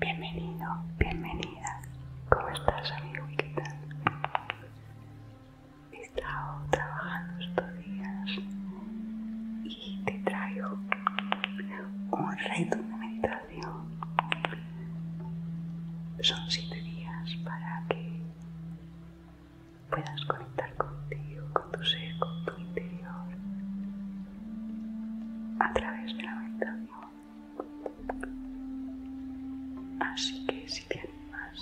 Bienvenido, bienvenida. ¿Cómo estás, amigo? ¿Qué He estado trabajando estos días y te traigo un reto de meditación son siete días para que puedas conectar contigo, con tu ser, con tu interior, a través de la meditación. Así que si te animas,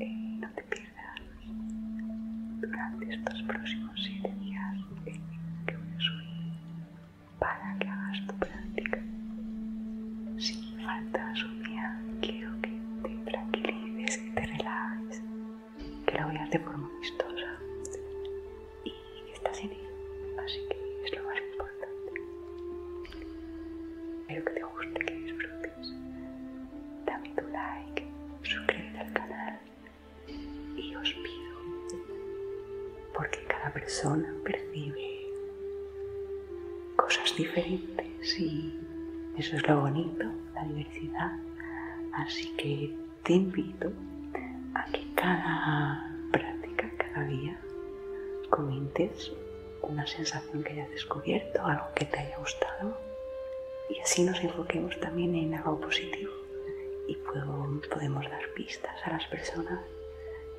eh, no te pierdas durante estos próximos siete días eh, que voy a subir para que hagas tu práctica. si falta un día, quiero que te tranquilices, que te relajes, que lo veas de forma vistosa y que estás en ello. Así que es lo más importante. Espero que te guste, que disfrutes. Dame tu like, suscríbete al canal y os pido porque cada persona percibe cosas diferentes y eso es lo bonito, la diversidad. Así que te invito a que cada práctica, cada día, comentes una sensación que hayas descubierto, algo que te haya gustado y así nos enfoquemos también en algo positivo y podemos dar pistas a las personas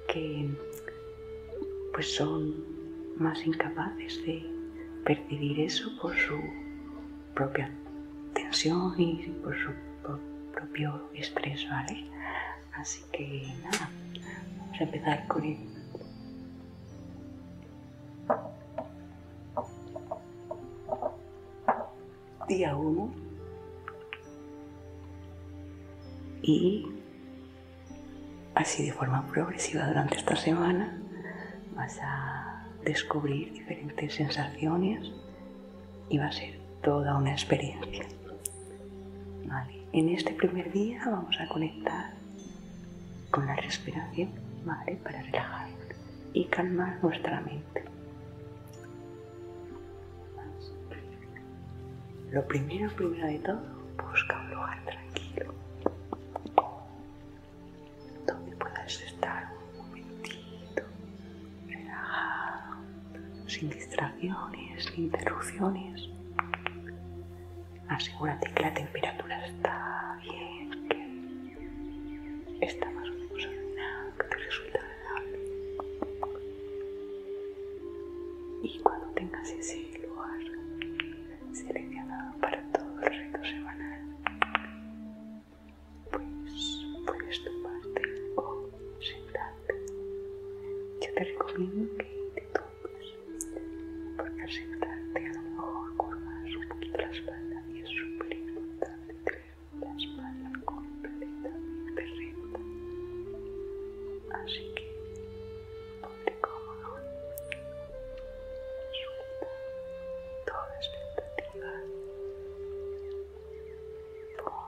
que pues son más incapaces de percibir eso por su propia tensión y por su propio estrés, ¿vale? Así que nada, vamos a empezar con el día 1 y así de forma progresiva durante esta semana vas a descubrir diferentes sensaciones y va a ser toda una experiencia. En este primer día vamos a conectar con la respiración, Para relajar y calmar nuestra mente. Lo primero, primero de todo, busca un lugar tranquilo donde puedas estar un momentito, relajado, sin distracciones, sin interrupciones. Asegúrate que la temperatura está bien, que está más o menos ordenada que te resulta agradable. Y cuando tengas ese lugar seleccionado para todo el reto semanal, pues puedes tumbarte o sentarte. Yo te recomiendo que te tumbes, porque al sentarte a lo mejor curvas un poquito la espalda y es súper importante la espalda curva completamente recta. Así que ponte cómodo, suelta toda tentativas por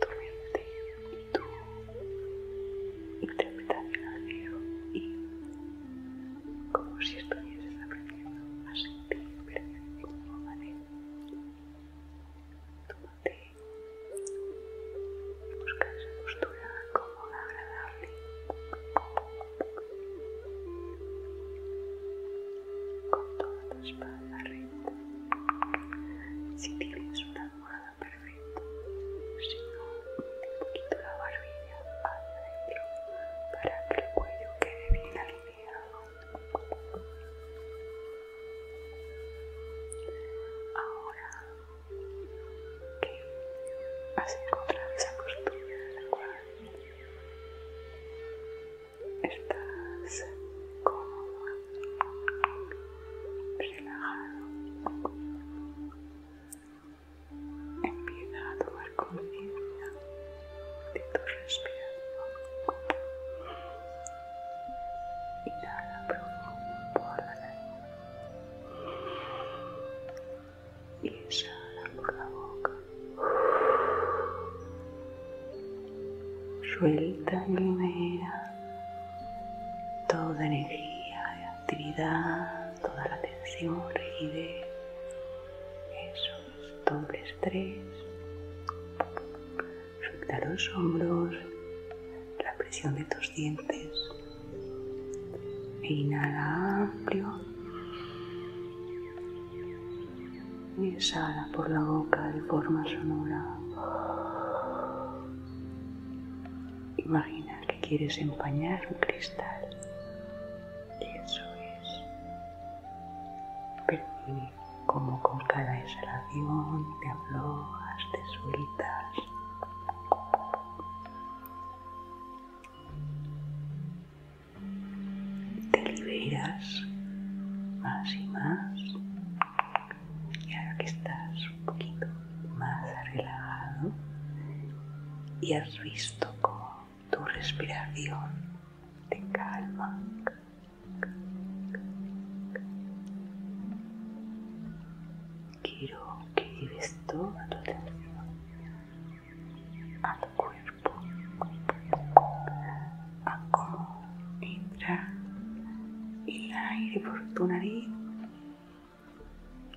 tu mente y tu interpretación al video y como si estuvieses aprendiendo a sentir de una manera. Y buscar esa postura cómoda, agradable. Con toda tu espalda recta. Si tienes una almohada, perfecta Si no, un poquito la barbilla hacia adentro para que el cuello quede bien alineado. Ahora que has encontrado esa costumbre de la cual estás cómodo, relajado, empieza a tomar conciencia de tu respiración Inhala profundo por la nariz. Y exhala por la boca. Suelta y libera toda energía, actividad, toda la tensión, rigidez. esos dobles estrés. Suelta los hombros, la presión de tus dientes. E inhala amplio. Y exhala por la boca de forma sonora. Imagina que quieres empañar un cristal. Y eso es como con cada exhalación te aflojas, te sueltas. Te liberas más y más. Y ahora que estás un poquito más relajado y has visto cómo tu respiración te calma Quiero que lleves toda tu atención al cuerpo, a cómo entra el aire por tu nariz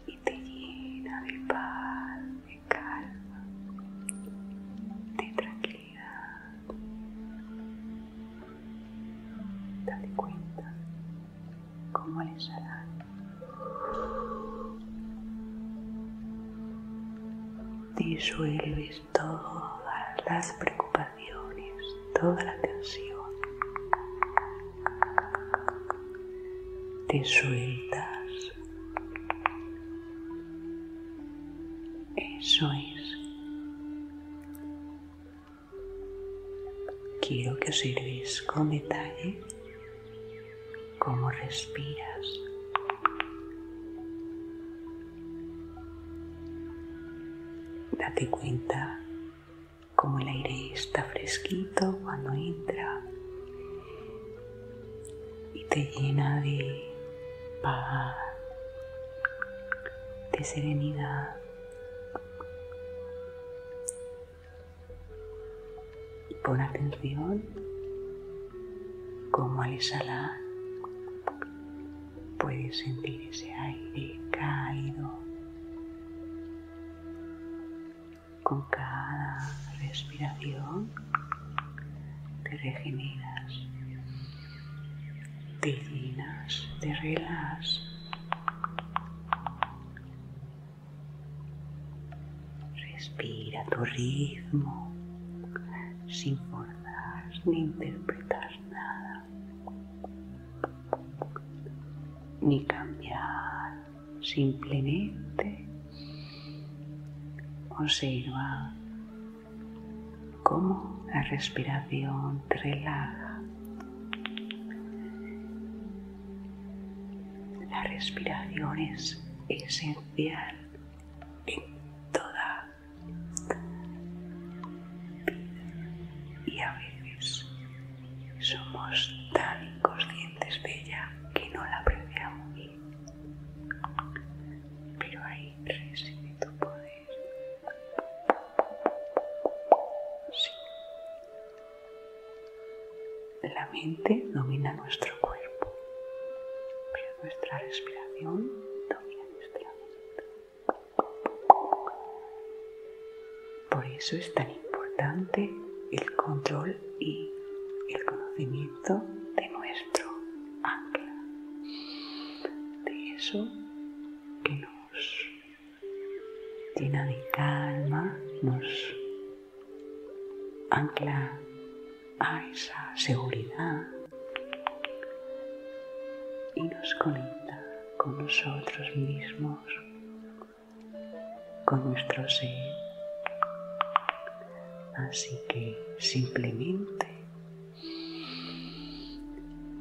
y te llena de paz, de calma, de tranquilidad. Dale Date cuenta cómo les disuelves todas las preocupaciones, toda la tensión. Te sueltas. Eso es. Quiero que observes con detalle cómo respiras. Date cuenta cómo el aire está fresquito cuando entra y te llena de paz, de serenidad. Y pon atención como al exhalar puedes sentir ese aire caído con cada respiración te regeneras te llenas, te relajas. Respira tu ritmo sin forzar ni interpretar nada, ni cambiar, simplemente observa como la respiración te relaja. La respiración es esencial en toda vida y a veces somos tan inconscientes de ella que no la apreciamos. Pero ahí reside tu poder. La mente domina nuestro cuerpo, pero nuestra respiración domina nuestra mente. Por eso es tan importante el control y el conocimiento de nuestro ancla de eso que nos llena de calma, nos ancla a esa seguridad y nos conecta con nosotros mismos, con nuestro ser. Así que simplemente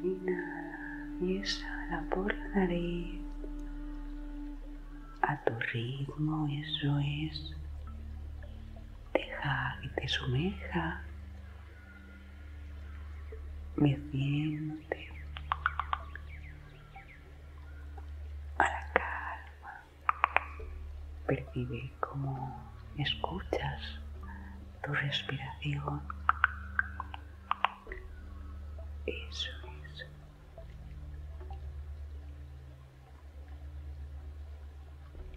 Inhala y exhala por la nariz a tu ritmo, eso es. Deja que te sumeja. Me siente a la calma. Percibe como escuchas tu respiración. Eso es.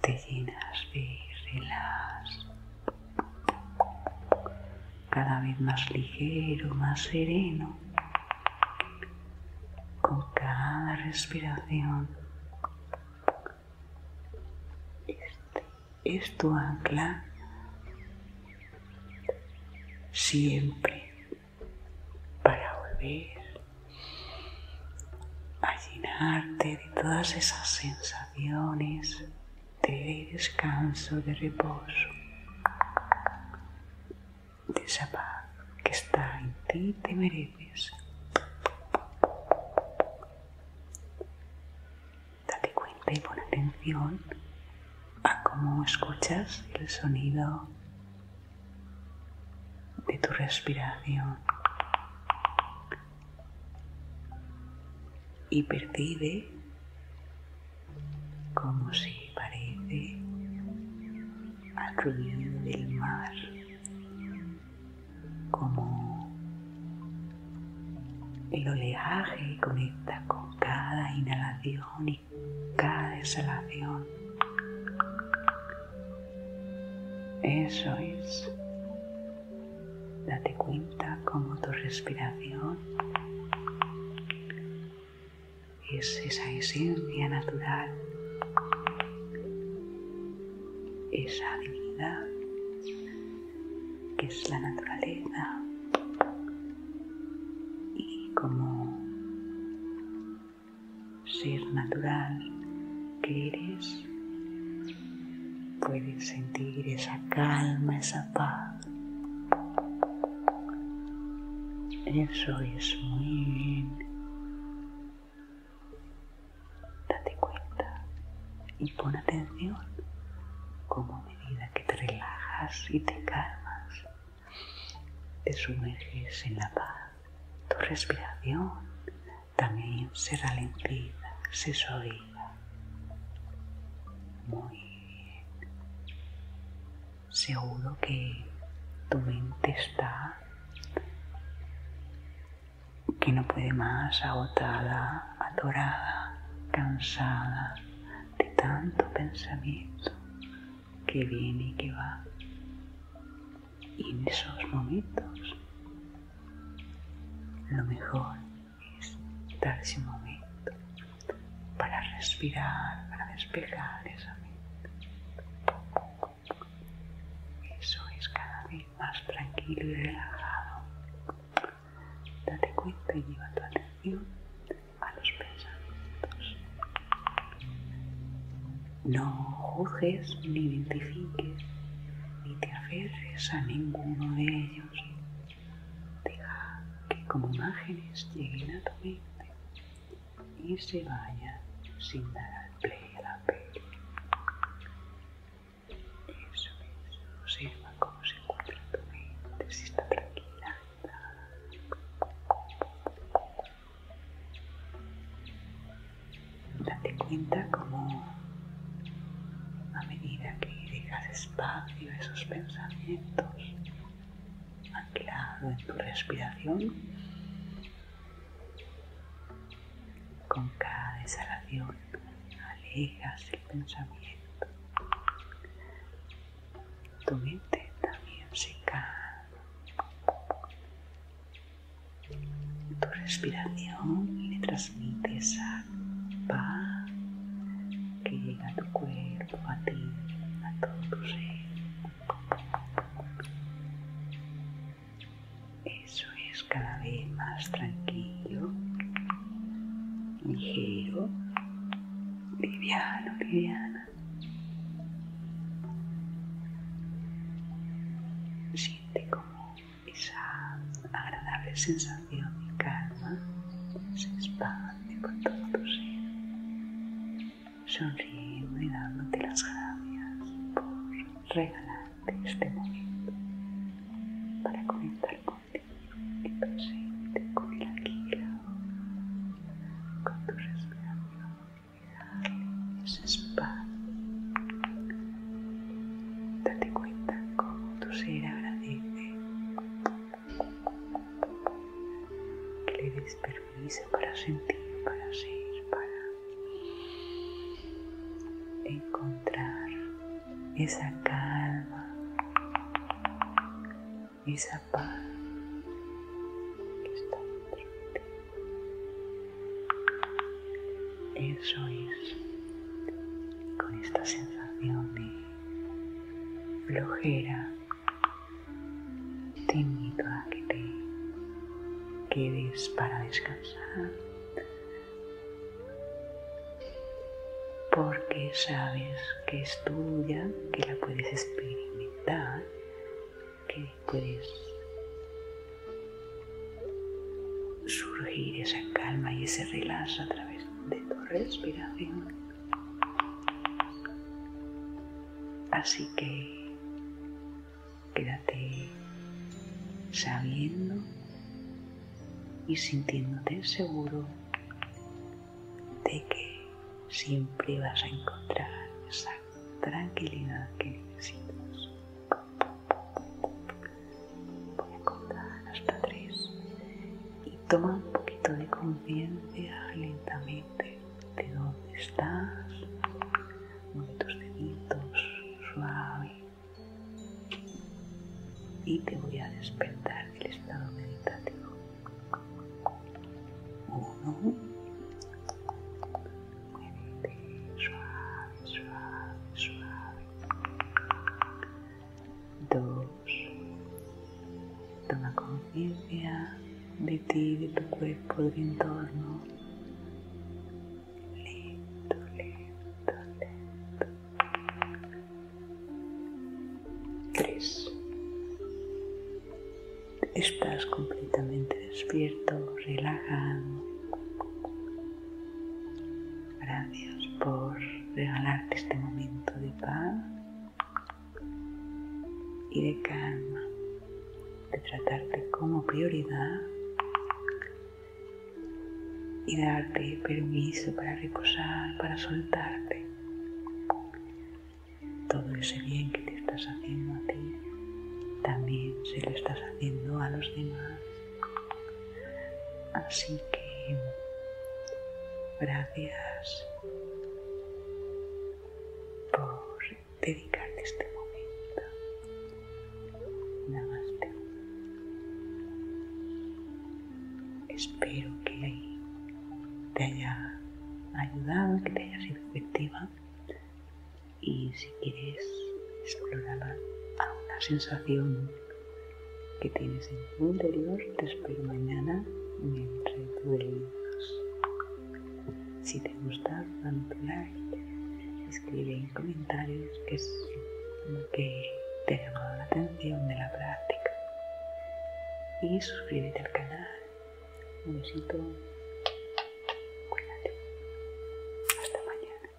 Te llenas de relás Cada vez más ligero, más sereno. Con cada respiración este es tu ancla siempre para volver a llenarte de todas esas sensaciones de descanso, de reposo, de esa paz que está en ti y te mereces. Date cuenta y pon atención a cómo escuchas el sonido de tu respiración y percibe como si parece al ruido del mar como el oleaje conecta con cada inhalación y cada exhalación. Eso es. Date cuenta como tu respiración es esa esencia natural esa divinidad que es la naturaleza y como ser natural que eres, puedes sentir esa calma, esa paz. Eso es muy Date cuenta y pon atención como a medida que te relajas y te calmas, te sumerges en la paz, tu respiración también se ralentiza, se suaviza. Muy bien. Seguro que tu mente está que no puede más, agotada, adorada, cansada de tanto pensamiento que viene y que va. Y en esos momentos lo mejor es darse un momento para respirar, para despejar esa mente. Eso es cada más tranquilo y relajado. Date cuenta y lleva tu atención a los pensamientos. No juzgues ni identifiques ni te aferres a ninguno de ellos. Deja que como imágenes lleguen a tu mente y se vayan sin dar al play a la peli. Eso es, observa cómo se encuentra tu mente, si está tranquila. Date cuenta como a medida que dejas espacio a esos pensamientos anclado en tu respiración, con cada exhalación alejas el pensamiento. Tu mente también se calma. Tu respiración le transmite esa paz que llega a tu cuerpo, a ti, a todo tu ser. Eso es cada vez más tranquilo, ligero, liviano, liviana. Siente como esa agradable sensación de calma se expande con todo tu ser, sonriendo y dándote las gracias por regalar de este momento para comenzar contigo y presente con el la con tu respiración y darle ese espacio. Date cuenta cómo tu ser agradece que le des permiso para sentir, para ser, para encontrar esa calma, esa paz que está dentro Eso es con esta sensación de flojera. Te invito a que te quedes para descansar porque sabes que es tuya, que la puedes experimentar, que puedes surgir esa calma y ese relax a través de tu respiración. Así que Quédate sabiendo y sintiéndote seguro de que siempre vas a encontrar esa tranquilidad que necesitas. Voy a contar hasta tres y toma un poquito de conciencia lentamente de dónde estás, mueve deditos suaves y te voy a despertar del estado meditativo. Uno. Muévete suave, suave, suave. Dos. Toma conciencia de ti, de tu cuerpo, de tu entorno lento, lento, lento. Tres. Estás completamente despierto, relajado. Gracias por regalarte este momento de paz y de calma, de tratarte como prioridad y darte permiso para reposar, para soltarte todo ese bien que te estás haciendo a ti, también se lo estás haciendo a los demás. Así que gracias por este momento. Espero que te haya ayudado, que te haya sido efectiva y si quieres explorar alguna sensación que tienes en tu interior, te espero mañana en el reto de Si te gusta, dale like escribe en comentarios qué es lo que te ha llamado la atención de la práctica. Y suscríbete al canal. Un besito. Cuídate. Hasta mañana.